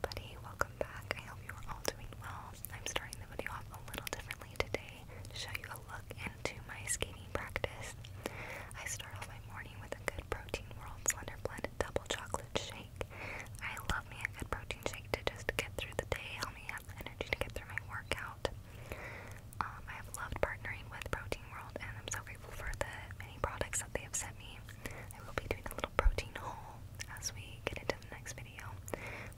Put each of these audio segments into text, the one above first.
Buddy, welcome back. I hope you are all doing well. I'm starting the video off a little differently today to show you a look into my skating practice. I start off my morning with a good protein world slender blend double chocolate shake. I love me a good protein shake to just get through the day, help me have the energy to get through my workout. Um, I have loved partnering with Protein World and I'm so grateful for the many products that they have sent me. I will be doing a little protein haul as we get into the next video.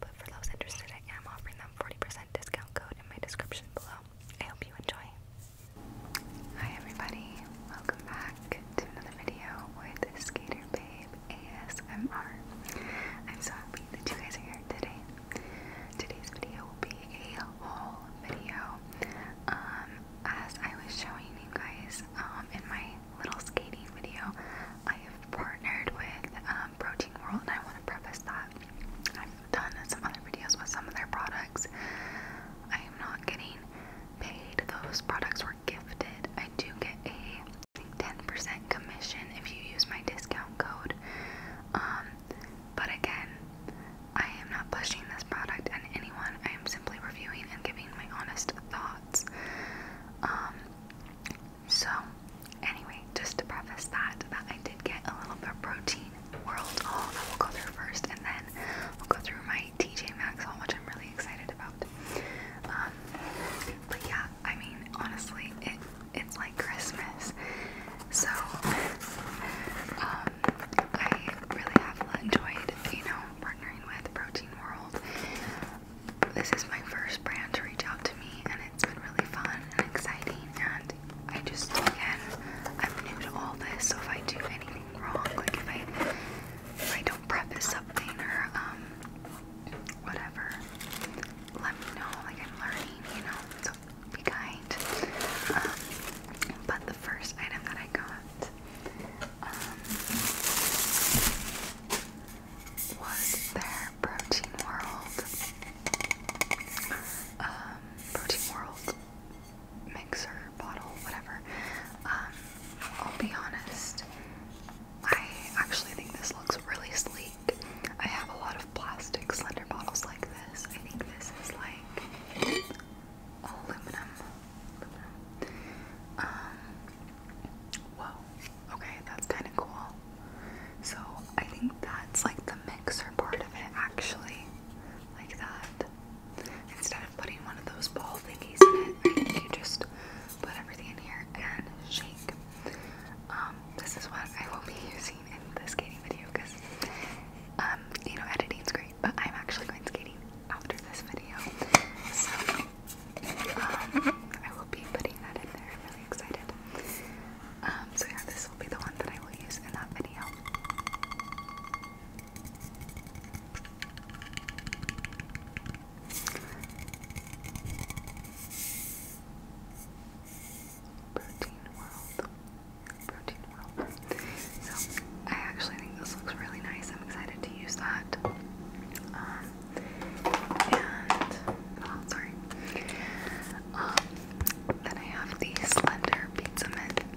But for those interested, I am offering them 40% discount code in my description below. I hope you enjoy. Hi everybody, welcome back to another video with Skater Babe ASMR. I'm so happy that you guys are here today. Today's video will be a haul video. Um, as I was showing you guys um, in my little skating video, I have partnered with um, Protein World, and I want to preface that I've done some other videos with some of their products. I am not getting paid; those products were gifted. I do get a 10% commission if you use my discount code. Um, but again, I am not pushing this product on anyone. I am simply reviewing and giving my honest thoughts. Um, so, anyway, just to preface that, that I did get a little bit of protein world haul that we'll go through first, and then we'll go through my TJ Maxx haul, which I'm really excited about. Um, but yeah, I mean, honestly, it it's like Christmas, so um, I really have enjoyed, you know, partnering with protein World. This is my first brand to reach out to me, and it's been really fun and exciting. And I just, again, I'm new to all this, so if I do anything wrong, like if I, don't preface something or um, whatever, let me know. Like I'm learning, you know. So be kind. Um, but the first item that I got um, was their Protein World. Um, protein World mixer, bottle, whatever. Um, I'll be honest, I actually think this looks really sleek. I have a lot of plastic slender bottles like this. I think this is like Oh, aluminum. Um, whoa. Okay, that's kind of cool. So I think that's like the mixer part of it, actually. Like that. Instead of putting one of those ball thingies in it, you just put everything in here and shake. Um, this is what I will be using in the skating video because, um, you know, editing's great but I'm actually going skating after this video. So um, I will be putting that in there. I'm really excited. Um, so yeah, this will be the one that I will use in that video. Protein World. Protein World. So I actually think this looks really nice. I'm excited to use that. Um, and oh, sorry. Um, then I have the Slender Pizza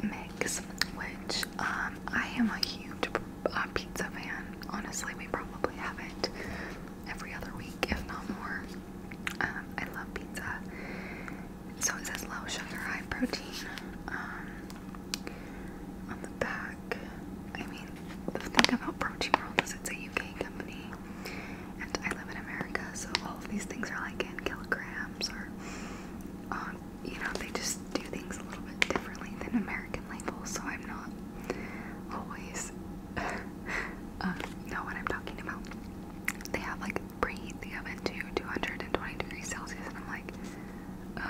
Mix, which um, I am a huge uh, pizza fan. Honestly, we probably have it every other week, if not more. I love pizza. So it says low sugar, high protein on the back. I mean, the thing about Protein World is it's a UK company, and I live in America, so all of these things are like in kilograms or, um, you know, they just do things a little bit differently than American labels, so I'm not always uh, know what I'm talking about. They have like preheat the oven to 220 degrees Celsius, and I'm like, uh,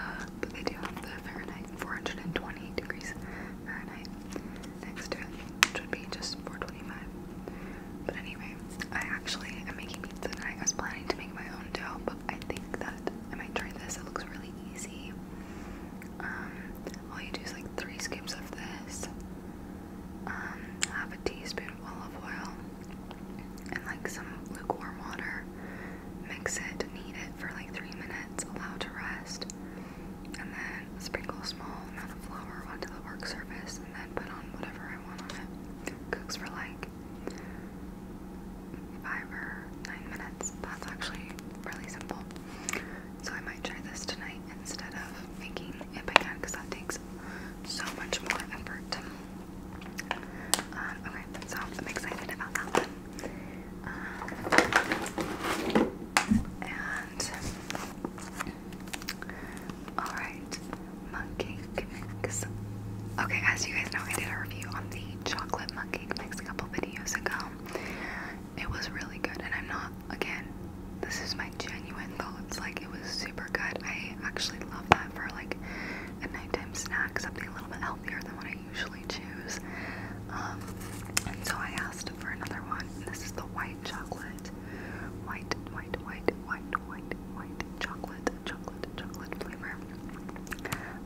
but they do have the Fahrenheit 420 degrees Fahrenheit next to it, which would be just 425. But anyway, I actually am making pizza tonight. I was planning to make my own dough, but I think that I might try this. It looks really easy. Um, all you do is like three scoops of this, um, half a teaspoon of olive oil, and like some lukewarm water. Mix it, knead it for like three minutes, allow to rest, and then sprinkle a small amount of flour onto the work surface and then put on whatever I want on it. Cooks for like five or nine minutes. That's actually really simple. So I might try this tonight instead of making it by hand because that takes so much more effort. Um, okay, so I'm excited about that um, and all right, monkey mix. Okay, as you guys know, I did a review on the chocolate monkey mix a couple videos ago. It was really good, and I'm not again. This is my genuine thoughts. Like it was super good. I actually love that for like a nighttime snack, something a little bit healthier than what I usually choose. Um, and so I asked for another one. And this is the white chocolate. White, white, white, white, white, white chocolate, chocolate, chocolate flavor.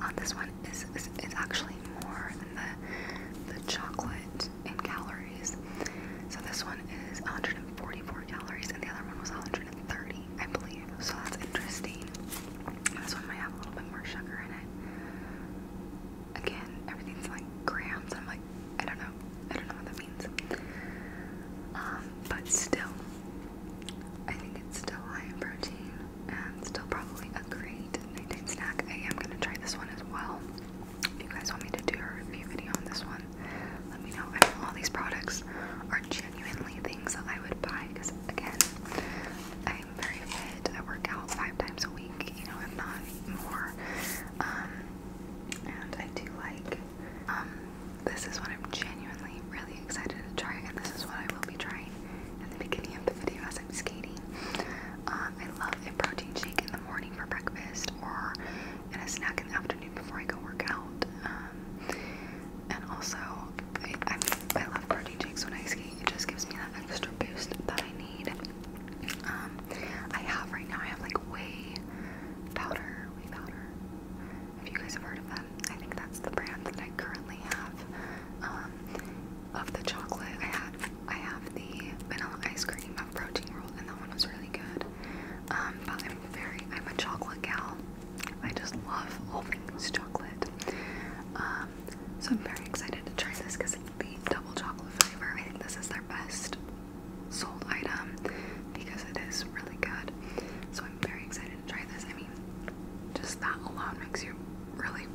Um, this one is, is, is actually more than the, the chocolate in calories. So this one is 144 calories and the other one was 130. I believe. So that's interesting. This one might have a little bit more sugar in it. Again, everything's like grams. I'm like, I don't know. I don't know what that means. Um, but still, I think it's still high in protein and still probably a great nighttime snack. I am gonna try this one as well. If you guys want me to do a review video on this one, let me know. I know all these products are are genuinely things that I would buy because, again, I'm very fit. I work out five times a week, you know, if not more. Um, and I do like, um, this is what I'm genuinely really excited to try, and this is what I will be trying at the beginning of the video as I'm skating. Um, I love a protein shake in the morning for breakfast or in a snack in the afternoon before I go work out. Um, and also, I, love protein shakes when I skate. It just gives me that extra boost that I need. Um, I have right now, I have like way powder, whey powder. If you guys have heard of them, I think that's the brand that I currently have. Um, of the chocolate, I had I have the vanilla ice cream of protein roll, and that one was really good. but I'm very I'm a chocolate gal. I just love all things chocolate. Um, so I'm very excited to try this because the double chocolate flavor, I think this is their best sold item because it is really good. So I'm very excited to try this. I mean, just that alone makes you really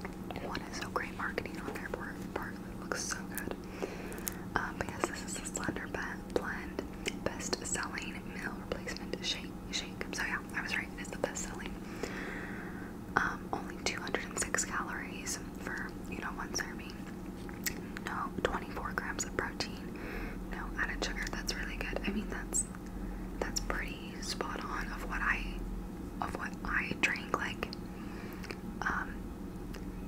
want it. So great marketing on their part. It looks so good. Um, because this is the Slender Blend best selling meal replacement shake. Shake. So yeah, I was right. It is the best selling. Um, only 206 calories for you know one serving. No, 24 grams of protein. No added sugar. That's really good. I mean, that's that's pretty spot on of what I of what I drink. Like, um,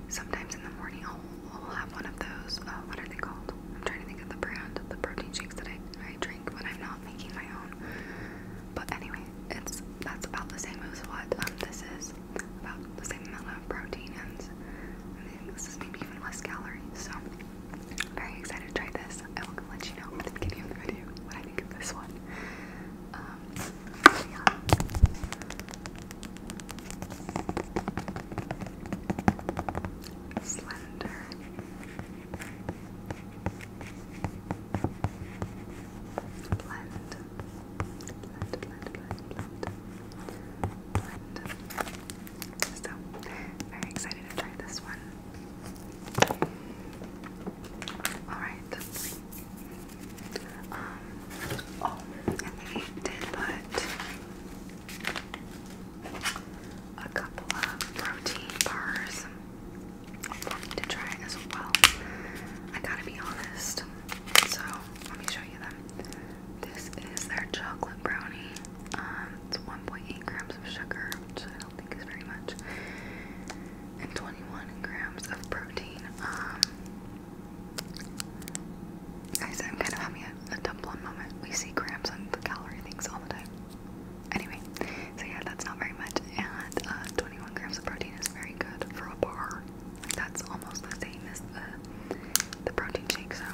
sometimes in the morning I'll, I'll have one of those. Uh, what are they called? I'm trying to think of the brand of the protein shakes that I I drink when I'm not making my own. But anyway, it's that's about the same as what um, this is. About the same amount of protein and this is maybe even less calories. So very excited to try this. I will let you know at the beginning of the video what I think of this one. Um, Slender Blend. Blend, So, very excited to try this one. Alright. oh, and they did put a couple of protein bars for me to try as well. I gotta be honest. So let me show you them. This is their chocolate brownie. Um, it's 1.8 grams of sugar, which I don't think is very much, and 21 grams of protein. Um, guys, I'm kind of having a, a moment. We see grams on the calorie things all the time. Anyway, so yeah, that's not very much, and uh, 21 grams of protein is very good for a bar. Like that's almost the same as the the protein shake. So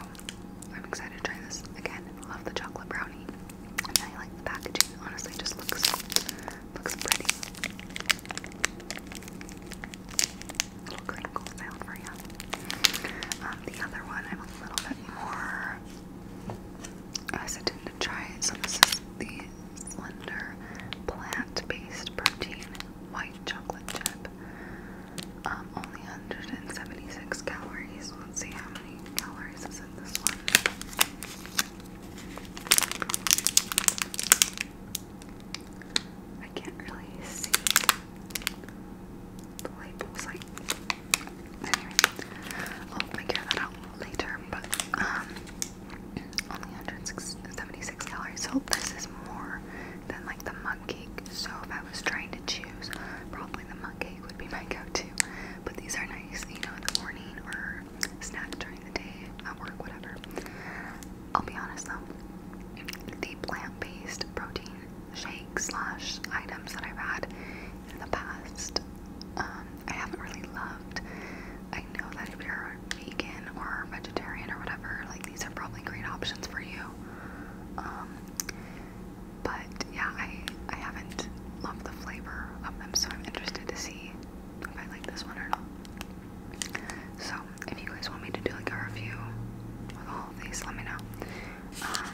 I'm excited to try this again. Love the chocolate brownie, and I like the packaging. Honestly, just looks looks pretty. little crinkle sound for you. Um, the other one I'm a little bit more I'm hesitant to try it. So this is the Slender plant-based protein white chocolate chip. Um, only 176 calories. Let's see how many calories is in this one. I can't really see the labels like Anyway, I'll oh, figure that out later, but um, only 176 calories. So this is more than like the mug cake. So if I was trying to choose, probably the mug cake would be my go-to. But these are nice, you know, in the morning or snack during the day at work, whatever. I'll be honest though, the plant-based protein shakes slash items that I've had in the past. Um, I haven't really loved. I know that if you're vegan or vegetarian or whatever, like these are probably great options for you. Um, but yeah, I I haven't loved the flavor of them, so I'm interested to see if I like this one or not. So if you guys want me to do like a review with all these, let me know. Um,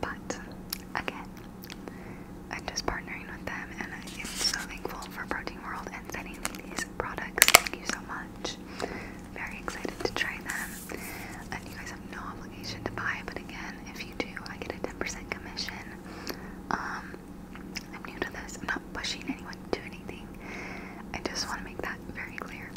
but again, I'm just partnering with them and I am so thankful for Protein World and sending me these products. Thank you so much. Very excited to try them. And you guys have no obligation to buy, but again, if you do, I get a 10% commission. Um, I'm new to this. I'm not pushing anyone to anything. I just want to make that very clear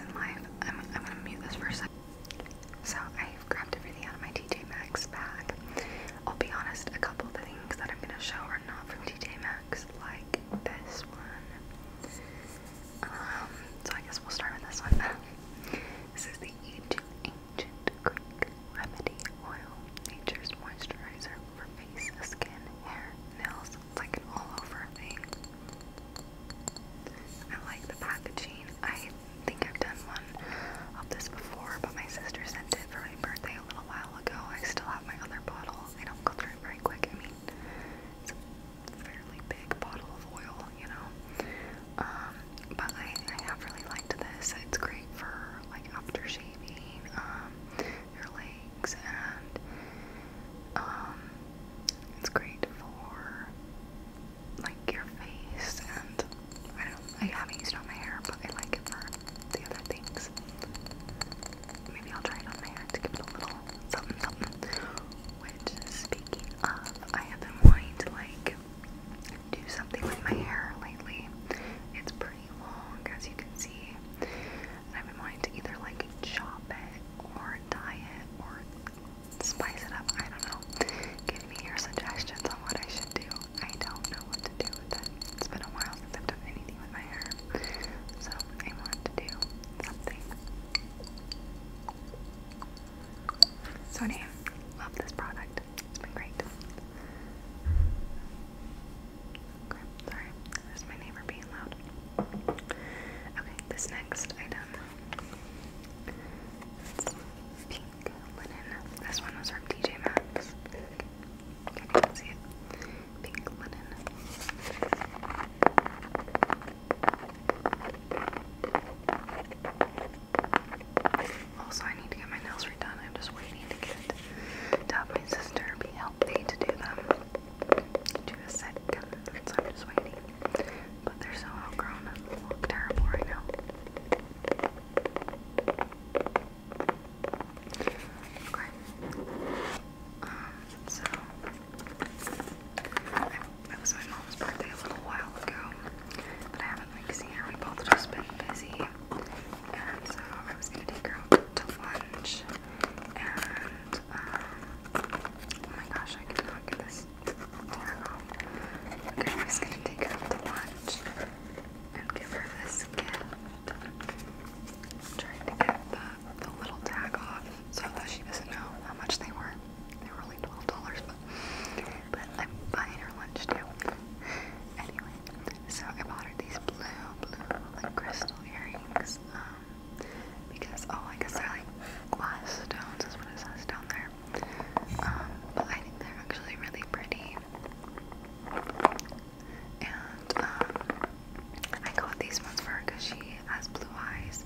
I'm, gonna mute this for So I've grabbed everything out of my TJ Maxx bag. I'll be honest, a couple of things that I'm gonna show are not from TJ Maxx, like this one. Um, so I guess we'll start with this one. this is the Ancient Greek Remedy Oil Nature's Moisturizer for face, skin, hair, nails, it's like an all-over thing. I like the packaging. I think I've done one of this before, but my sister sent it for my birthday a little while ago. I still have my other bottle. I don't go through it very quick. I mean, it's a fairly big bottle of oil, you know. Um, but I, I have really liked this. It's great for like after shaving. Um, your legs, and um, it's great for like your face. And I don't, I haven't used it on my hair, but I like it for the other things. Maybe I'll try it on my hair to give it a little something, something. Which, speaking of, I have been wanting to like do something with my hair lately. It's pretty long, as you can see. I've been wanting to either like chop it or dye it or spice it up. I don't know. Give me your suggestions on what I should do. I don't know what to do with it. It's been a while since I've done anything with my hair. So I want to do something. So love this product. It's been great sorry. That's my neighbor being loud. Okay, this next item. pink linen. This one was from DJ Maxx. Okay, you see it. Pink linen. Also, I need to get my nails redone. I'm just waiting to get to my sister be healthy to do them to a set so I'm just waiting. But they're so outgrown and look terrible right now. Okay. Um, so it was my mom's birthday a little while ago, but I haven't like seen her. we both just been busy, and so I was gonna take her out to lunch and um, oh my gosh I cannot get this tag off. Okay, I'm just gonna take her to lunch and give her this gift. I'm trying to get the, the little tag off so that she doesn't know how much they were. They were only $12, but, but I'm buying her lunch too. Anyway, so I bought her these blue, blue, like crystal earrings. Um, um, because, oh, I guess they're like glass stones, is what it says down there. Um, but I think they're actually really pretty. And, um, I got these ones for her because she has blue eyes.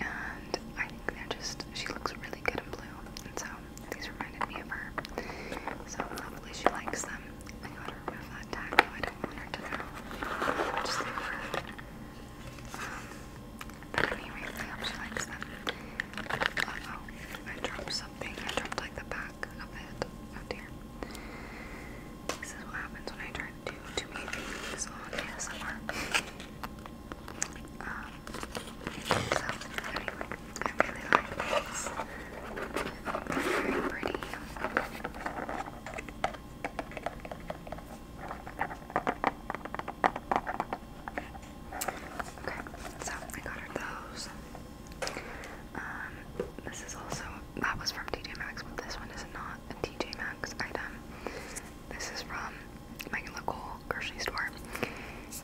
And I think they're just, she looks really good in blue. And so, these reminded me of her. So, hopefully, she likes them. I got remove that taco. I don't want her to know. Which is super rude. Um, but anyway, I hope she likes them. Uh oh, I dropped something. I dropped like the back of it. Oh dear. This is what happens when I try to do too many things on ASMR. Um, so, anyway, I really like this. Very pretty. Um, Okay, so I got her those. Um, this is also that was from TJ Maxx, but this one is not a TJ Maxx item. This is from my local grocery store.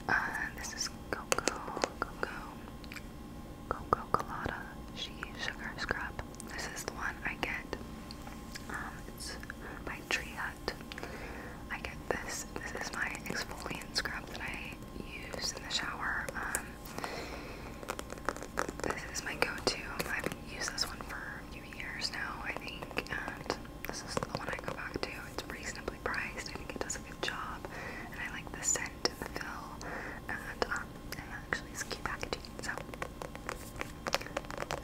Uh, this is Coco Coco Coco Colada She Sugar Scrub. This is the one I get. Um, it's by Tree Hut. I get this. This is my exfoliant scrub that I use in the shower. Um, this is my go-to. I've used this one for a few years now, I think, and this is the one I go back to. It's reasonably priced. I think it does a good job, and I like the scent and the feel, and that. I actually it's cute packaging, so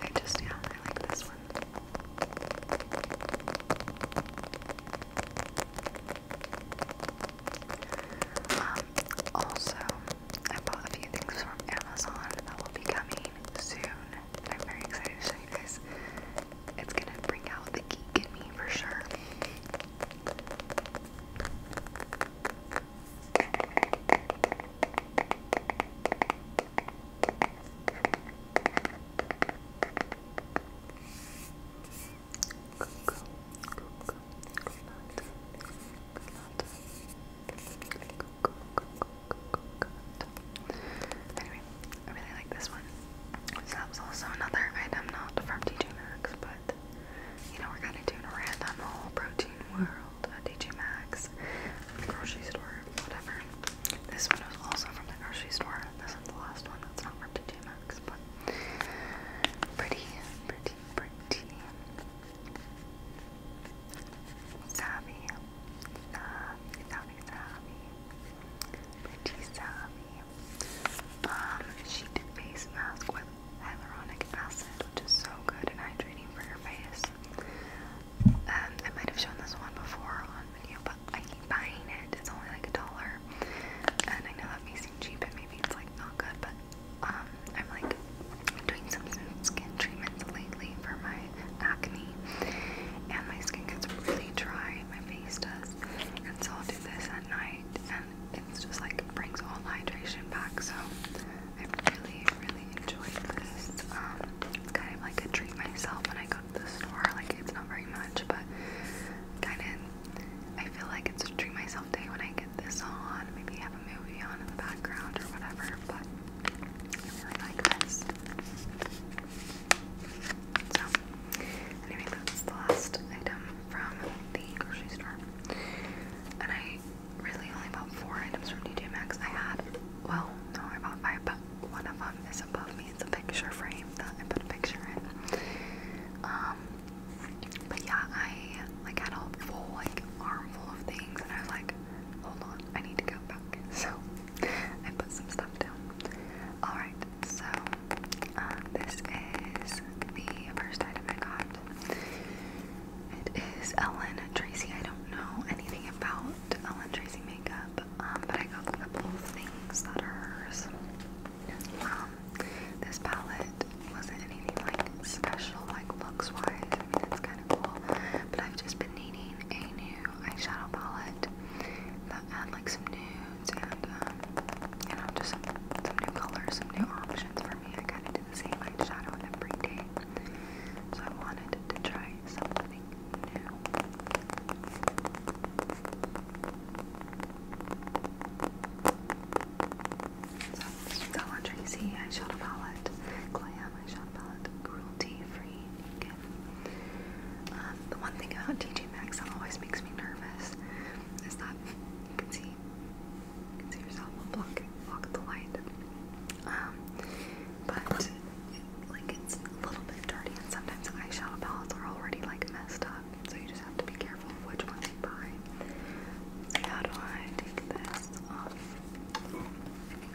I just yeah, I like this one. Um, also, I bought a few things from Amazon that will be coming soon. I'm very excited to show you guys. It's gonna bring out the geek in me for sure. Anyway, I really like this one. So that was also another item, not from TJ Maxx, but you know, we're kind of doing a random whole protein world, a uh, Maxx, grocery store, whatever. This one was also from the grocery store. This is the last one that's not from DJ Maxx, but pretty, pretty, pretty savvy. Savvy, savvy, savvy. Pretty savvy. Um, she face mask with hyaluronic acid, which is so good and hydrating for your face. Um, I might have shown this one before on video, but I keep buying it. It's only like a dollar, and I know that may seem cheap and maybe it's like not good, but um, I'm like doing some skin treatments lately for my acne, and my skin gets really dry. My face does, and so I'll do this at night, it's just like brings all hydration back. So I really, really enjoyed this. Um, it's kind of like a treat myself when I go to the store. Like it's not very much, but kind of I feel like it's a treat myself day when I get this on. Maybe have a movie on in the background or whatever. But I really like this. So, anyway, that's the last item from the grocery store. And I really only bought four items from DJ Maxx. I had, well, no, I bought five, but one of them is above me. It's a picture frame that I put a picture in. Um, but yeah, I like had a full like armful of things, and I was like, hold on, I need to go back. So I put some stuff down. All right, so uh, this is the first item I got. It is Ellen Tracy. I don't know anything about Ellen Tracy makeup, um, but I got a couple of things that are hers. Um, this palette wasn't anything like special, like looks wise. I mean, it's kind of cool, but I've just been needing a new eyeshadow palette that had like some nudes and um, you know, just some, some new colors, some new options for I kind of do the same eyeshadow every day. So I wanted to try something new. So this is eyeshadow palette, Glam eyeshadow palette, cruelty free. Um, the one thing about TJ Maxx that always makes me nervous is that you can see you can see yourself will block block the light. Um, but like it's a little bit dirty, sometimes eyeshadow palettes are already like messed up, so you just have to be careful which ones you buy. how do I take this off? I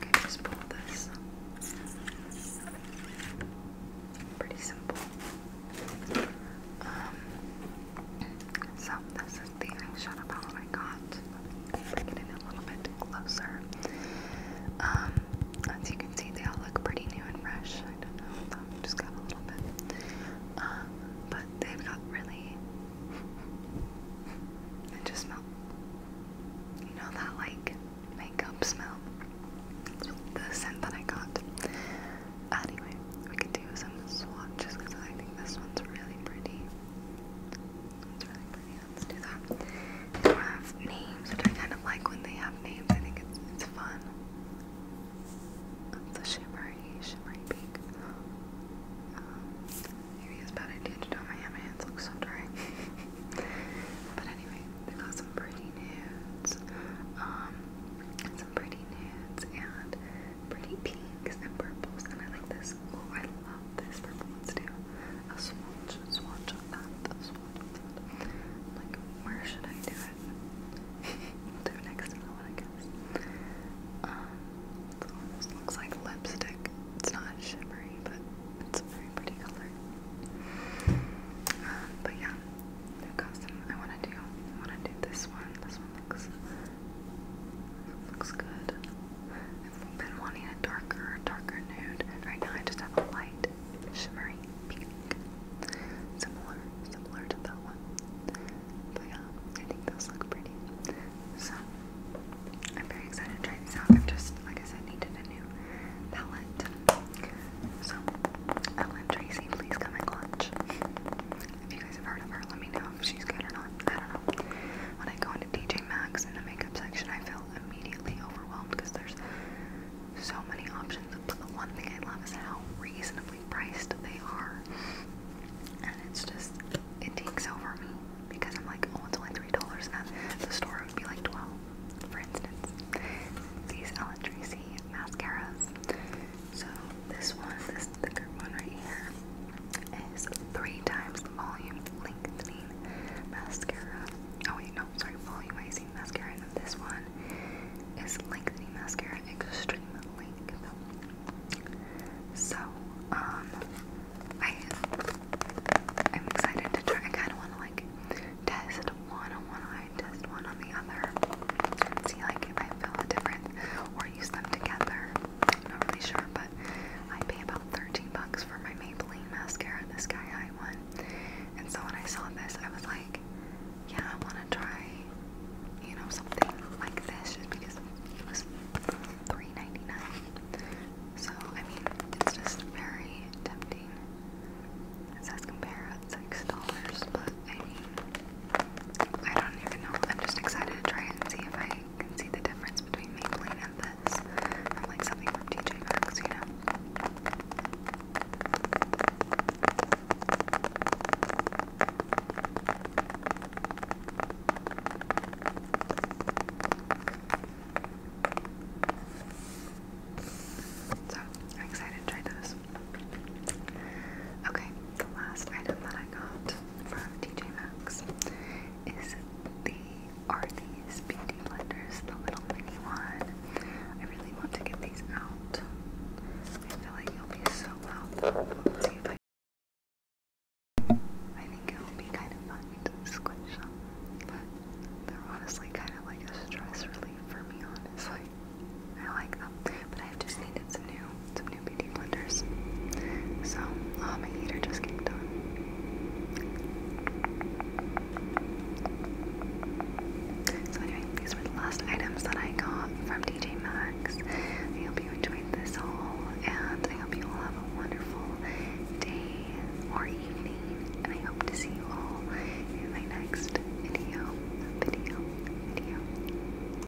think I just pull this. Pretty simple. Um, so this is the eyeshadow palette I got. Getting a little bit closer. Um, as you can see, they all look pretty new and fresh. I just got a little bit. Uh, but they've got really. It just smells. You know that like makeup smell? The scent that I got. Anyway, we could do some swatches because I think this one's really pretty. It's really pretty. Let's do that. They have names, I kind of like when they have names. I think it's it's fun. It's a shimmery, shimmery pink. Um, maybe it's a bad idea to do my hand. My hands look so dry. but anyway, they got some pretty nudes. Um, pretty nudes and pretty pinks and purples, and I like this. Oh, I love this purple. Let's a swatch, a swatch of that, a swatch Like, where should I do it? do next to that one, I guess. Um, it looks like lipstick. It's not shimmery, but it's a very pretty color. Um, but yeah, new custom. I want to do. I want to do this one. This looks, looks good. I've been wanting a darker, darker nude. Right now I just have a light, shimmery pink. Similar, similar to that one. But yeah, I think those look pretty. So, I'm very excited to try these out. I've just, like I said, needed a new palette. So, Ellen Tracy, please come and clutch. If you guys have heard of her, let me know if she's good or not. I don't know. When I go into DJ Maxx in the makeup section, I feel immediately overwhelmed because there's so many options. But the one thing I love is how reasonably priced they are. And it's just, it takes over me because I'm like, oh, it's only $3. And at the store, it would be like 12 For instance, these Ellen Tracy mascaras. So this one, this thicker one right here, is three times the volume lengthening mascara. Oh wait, no, sorry, volumizing mascara. And this one is lengthening mascara, extreme length. So, um, I I'm excited to try. I kind of want to like test one on one eye, test one on the other, see like if I feel a difference, or use them together. I'm not really sure, but I pay about 13 bucks for my Maybelline mascara, the Sky High one. And so when I saw this, I was like, yeah, I want to try, you know, something like this just because it was $3.99. So, I mean, it's just very tempting. It says compare at $6, but I mean, I don't even know. I'm just excited to try it and see if I can see the difference between me playing and this. I'm like something from TJ Maxx, you know. So I'm excited to try those. Okay, the last item that I got from TJ Maxx is the are beauty blenders, the little mini one. I really want to get these out. I feel like you'll be so well. I I think it will be kind of fun to squish them, but they're honestly kind of like a stress relief for me, honestly. I like them but I've just needed some new, some new beauty blenders. So, my um, heater just came on. So anyway, these were the last items that I got from DJ Maxx. I hope you enjoyed this haul, and I hope you all have a wonderful day or evening, and I hope to see you all in my next video, video, video.